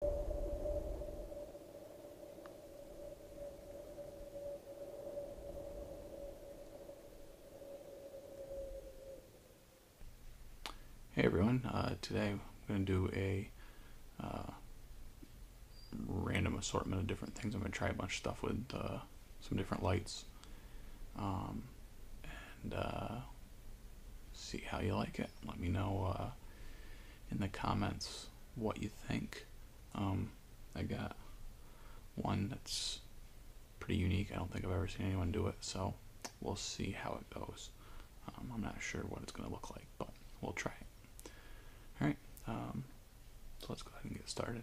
Hey everyone, uh, today I'm going to do a uh, random assortment of different things. I'm going to try a bunch of stuff with uh, some different lights um, and see how you like it. Let me know uh, in the comments what you think. Um, I got one that's pretty unique. I don't think I've ever seen anyone do it, so we'll see how it goes. Um, I'm not sure what it's going to look like, but we'll try it. All right, um, so let's go ahead and get started.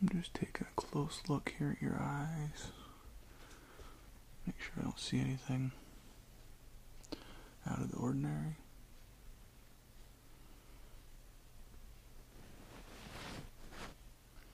I'm just taking a close look here at your eyes. Make sure I don't see anything out of the ordinary.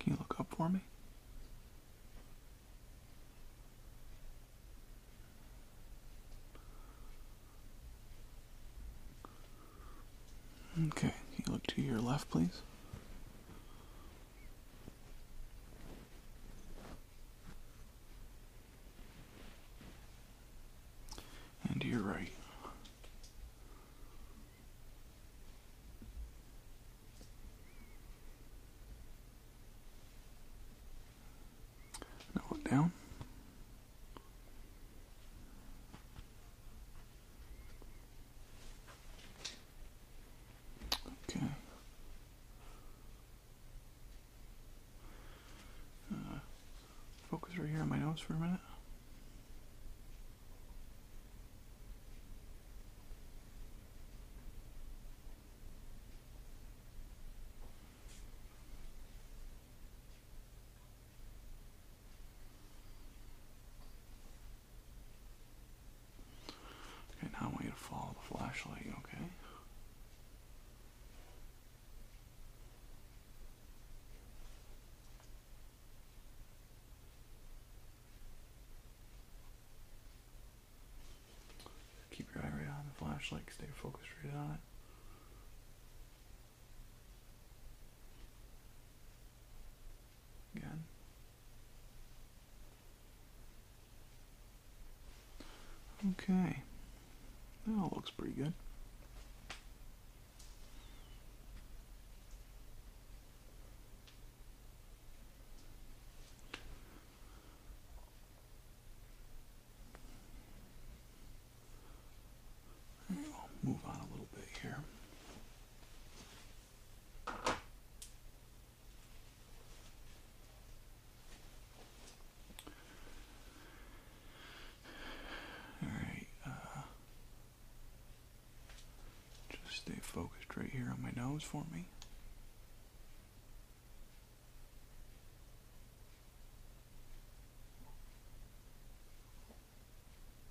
Can you look up for me? Okay, can you look to your left, please? And to your right. Now look down. Okay. Uh, focus right here on my nose for a minute. Okay, now I want you to follow the flashlight, okay? Keep your eye right on the flashlight, stay focused right on it. Good. Okay. That all looks pretty good move on a little bit here. All right, uh, just stay focused right here on my nose for me.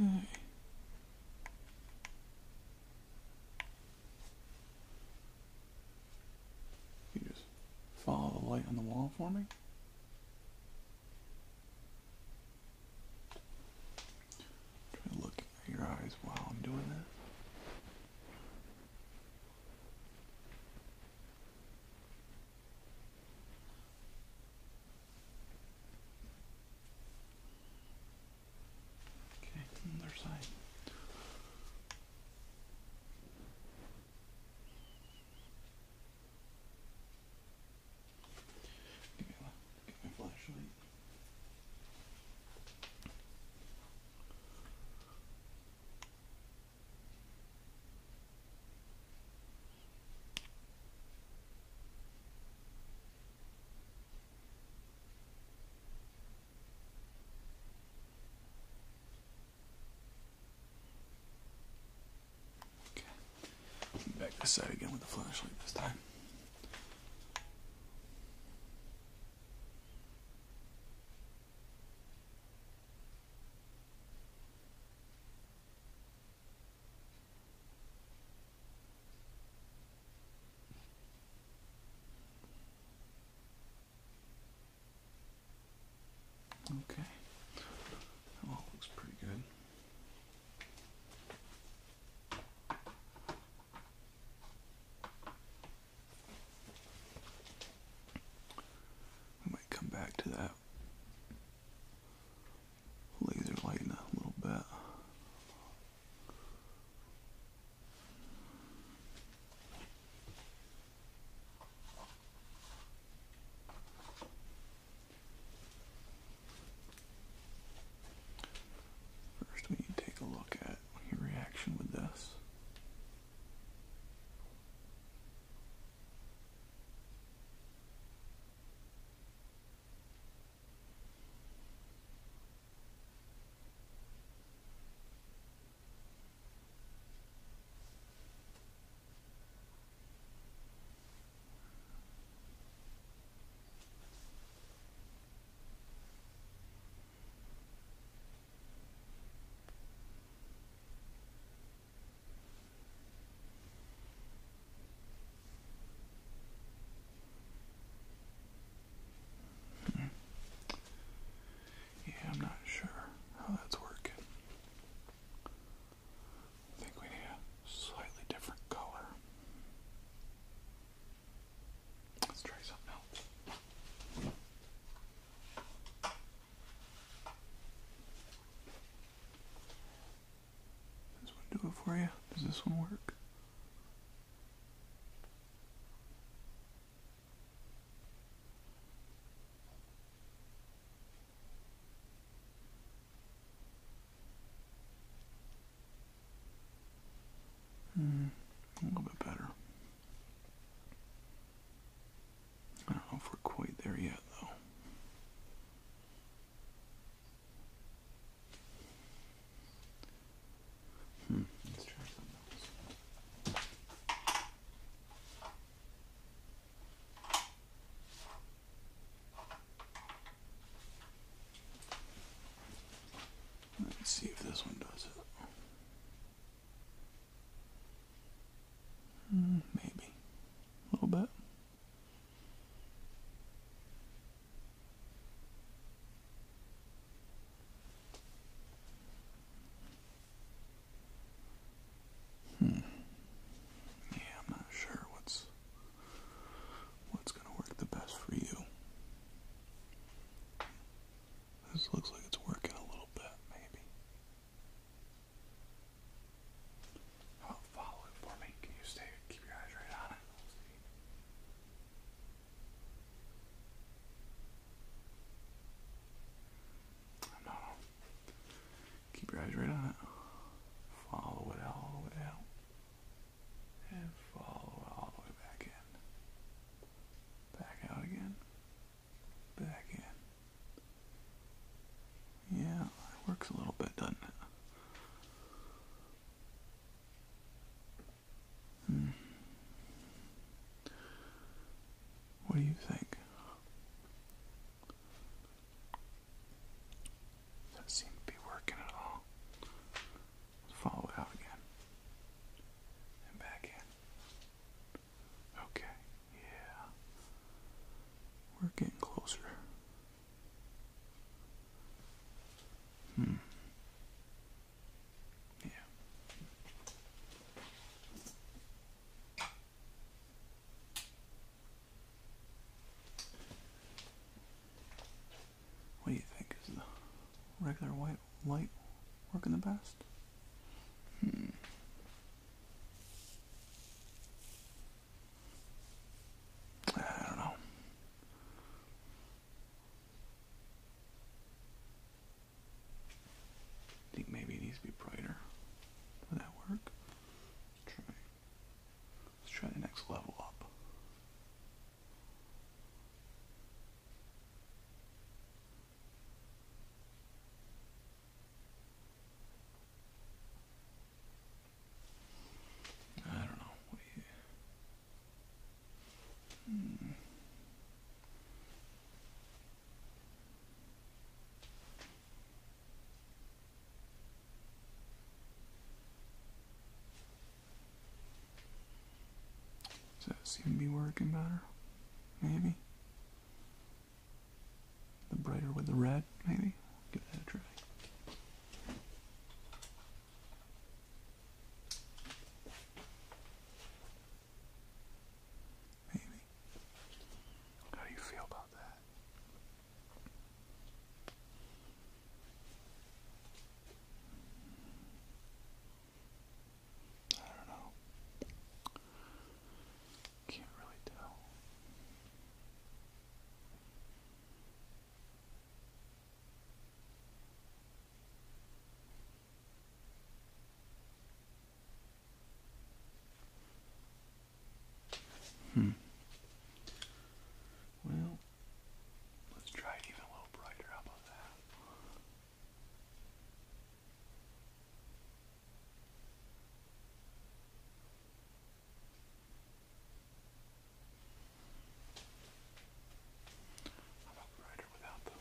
Okay. You just follow the light on the wall for me. Try to look at your eyes while I'm doing this. Okay, other side. Get my, flashlight. Okay. Back this side again with the flashlight this time. Okay. all looks pretty good. We might come back to that laser light a little bit. First, we can take a look at your reaction with this. Yeah, I'm not sure how that's working. I think we need a slightly different color. Let's try something else. This one do it for you? Does this one work? Hmm, a little bit better. I don't know if we're quite there yet, though. Hmm. Let's try something else. Let's see if this one does it. Hmm, maybe. A little bit. Hmm. Yeah, I'm not sure what's what's gonna work the best for you. This looks like it's working a little bit, maybe. follow it for me? Can you stay keep your eyes right on it? I'm not Keep your eyes right on it. Follow it all the way out. And follow all the way back in. Back out again. Back in. Yeah, it works a little bit, doesn't it? Hmm. What do you think? That seemed to be working at all. follow it out again. And back in. Okay, yeah. We're getting closer. Hmm. Yeah. What do you think? Is the regular white light working the best? Hmm. I don't know. I think maybe it needs to be brighter. Would that work? Try. Let's try the next level up. I don't know. Hmm. Does it seem to be working better? Maybe. The brighter with the red, maybe? Give that a try. Maybe. How do you feel about that? I don't know. Can't really tell. Hmm. Well, let's try it even a little brighter. How about that? How about brighter without them?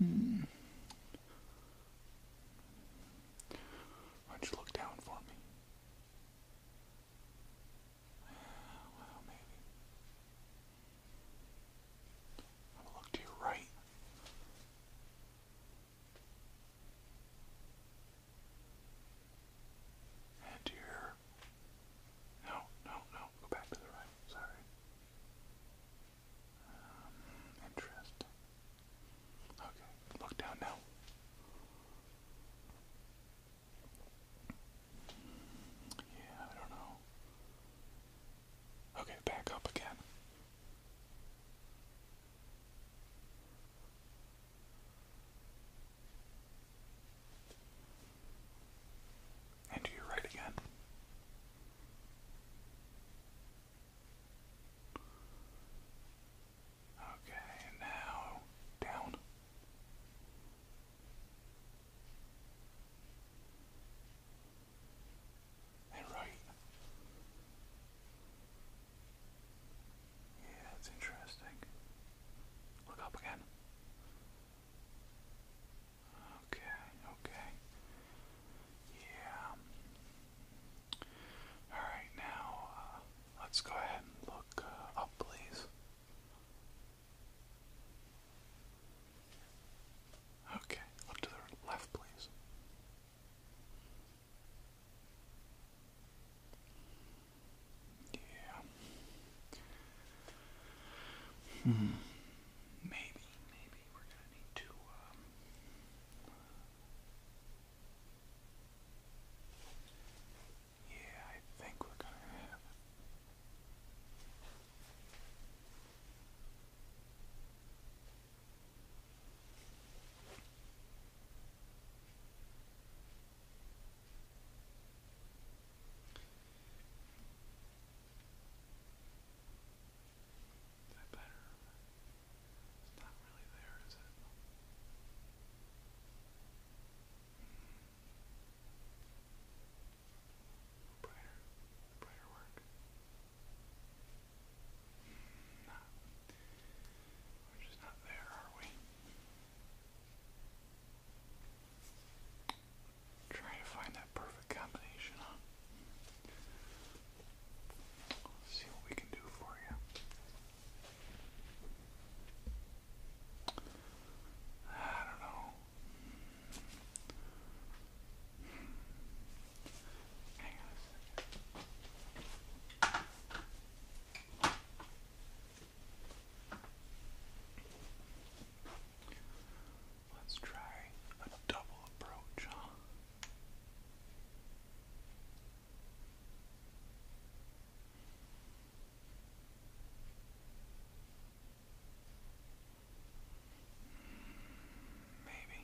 Hmm. Why don't you look down for me? Well, maybe. look to your right. And your. No, no, no. Go back to the right. Sorry. Um, Okay, look down now. Yeah, I don't know. Okay, back up again. And to your right again. Okay, now down right. Yeah, that's interesting. Look up again. Okay, okay. Yeah. Alright, now uh, let's go ahead and look uh, up, please. Okay, look to the left, please. Yeah. Hmm. Maybe, maybe we're gonna need to. Uh, yeah, I think we're gonna have it. Is that better? It's not really there, is it? Hmm. Brighter, brighter work. Nah. We're not there, are we? Trying to find that perfect combination, see what we can do for you. I don't know. Hang on let Let's try a double approach, huh? Maybe.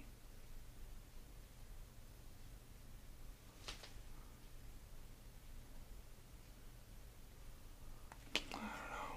I don't know.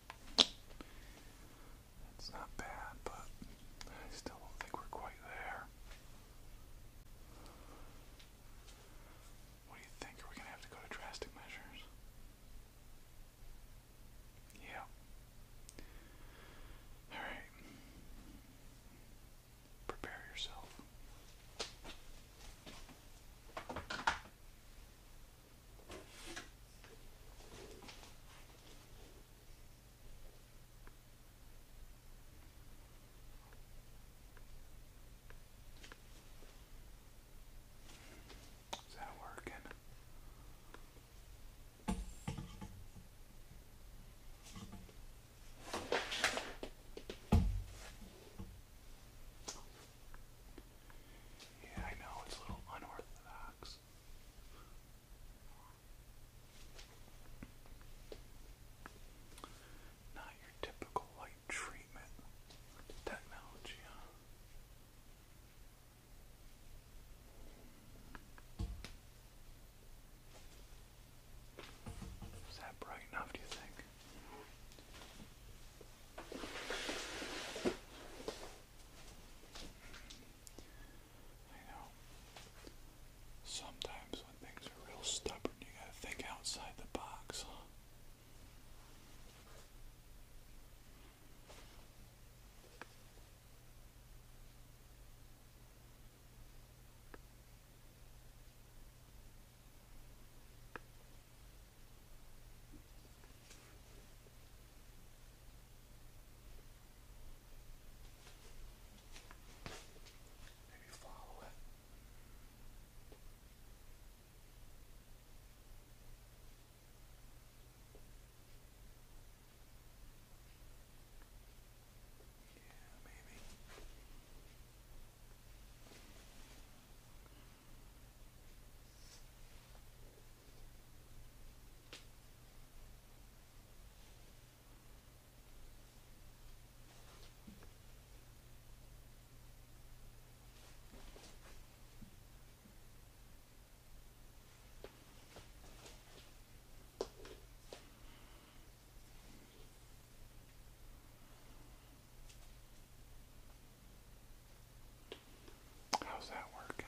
It's not bad, but I still don't think we're quite there. What do you think? Are we going to have to go to drastic measures? Yeah. Alright. Prepare yourself. Is that working? Yeah, I know it's a little unorthodox this. Not your typical light treatment technology, huh? Is that bright enough, do you think? I know. Sometimes when things are real stubborn, you gotta think outside the box, Maybe follow it. Yeah, maybe. How's that working?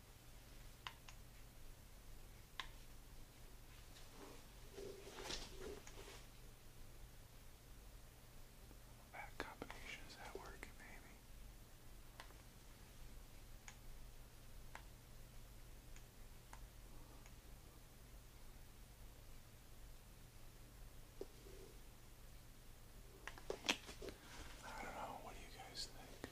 That combination is at work, maybe. I don't know, what do you guys think?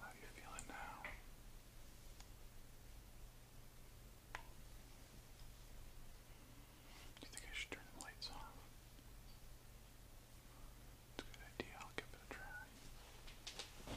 How are you feeling now? Do you think I should turn the lights off? It's a good idea, I'll give it a try. All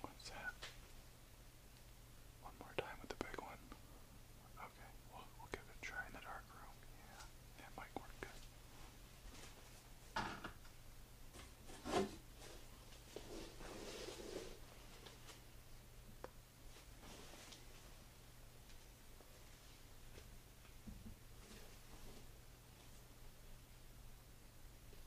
What's that? One more time with the big one. Okay, we'll, give it a try in the dark room. Yeah, that might work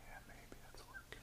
Yeah, maybe that's working.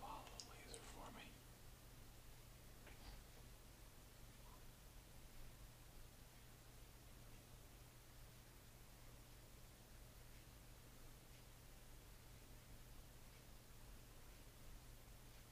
Follow the laser for me. All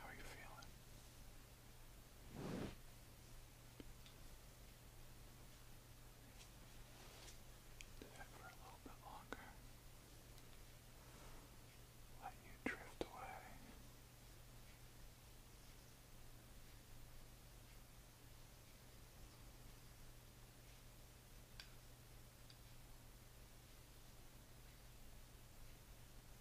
How are you feeling? for a little bit longer. Let you drift away.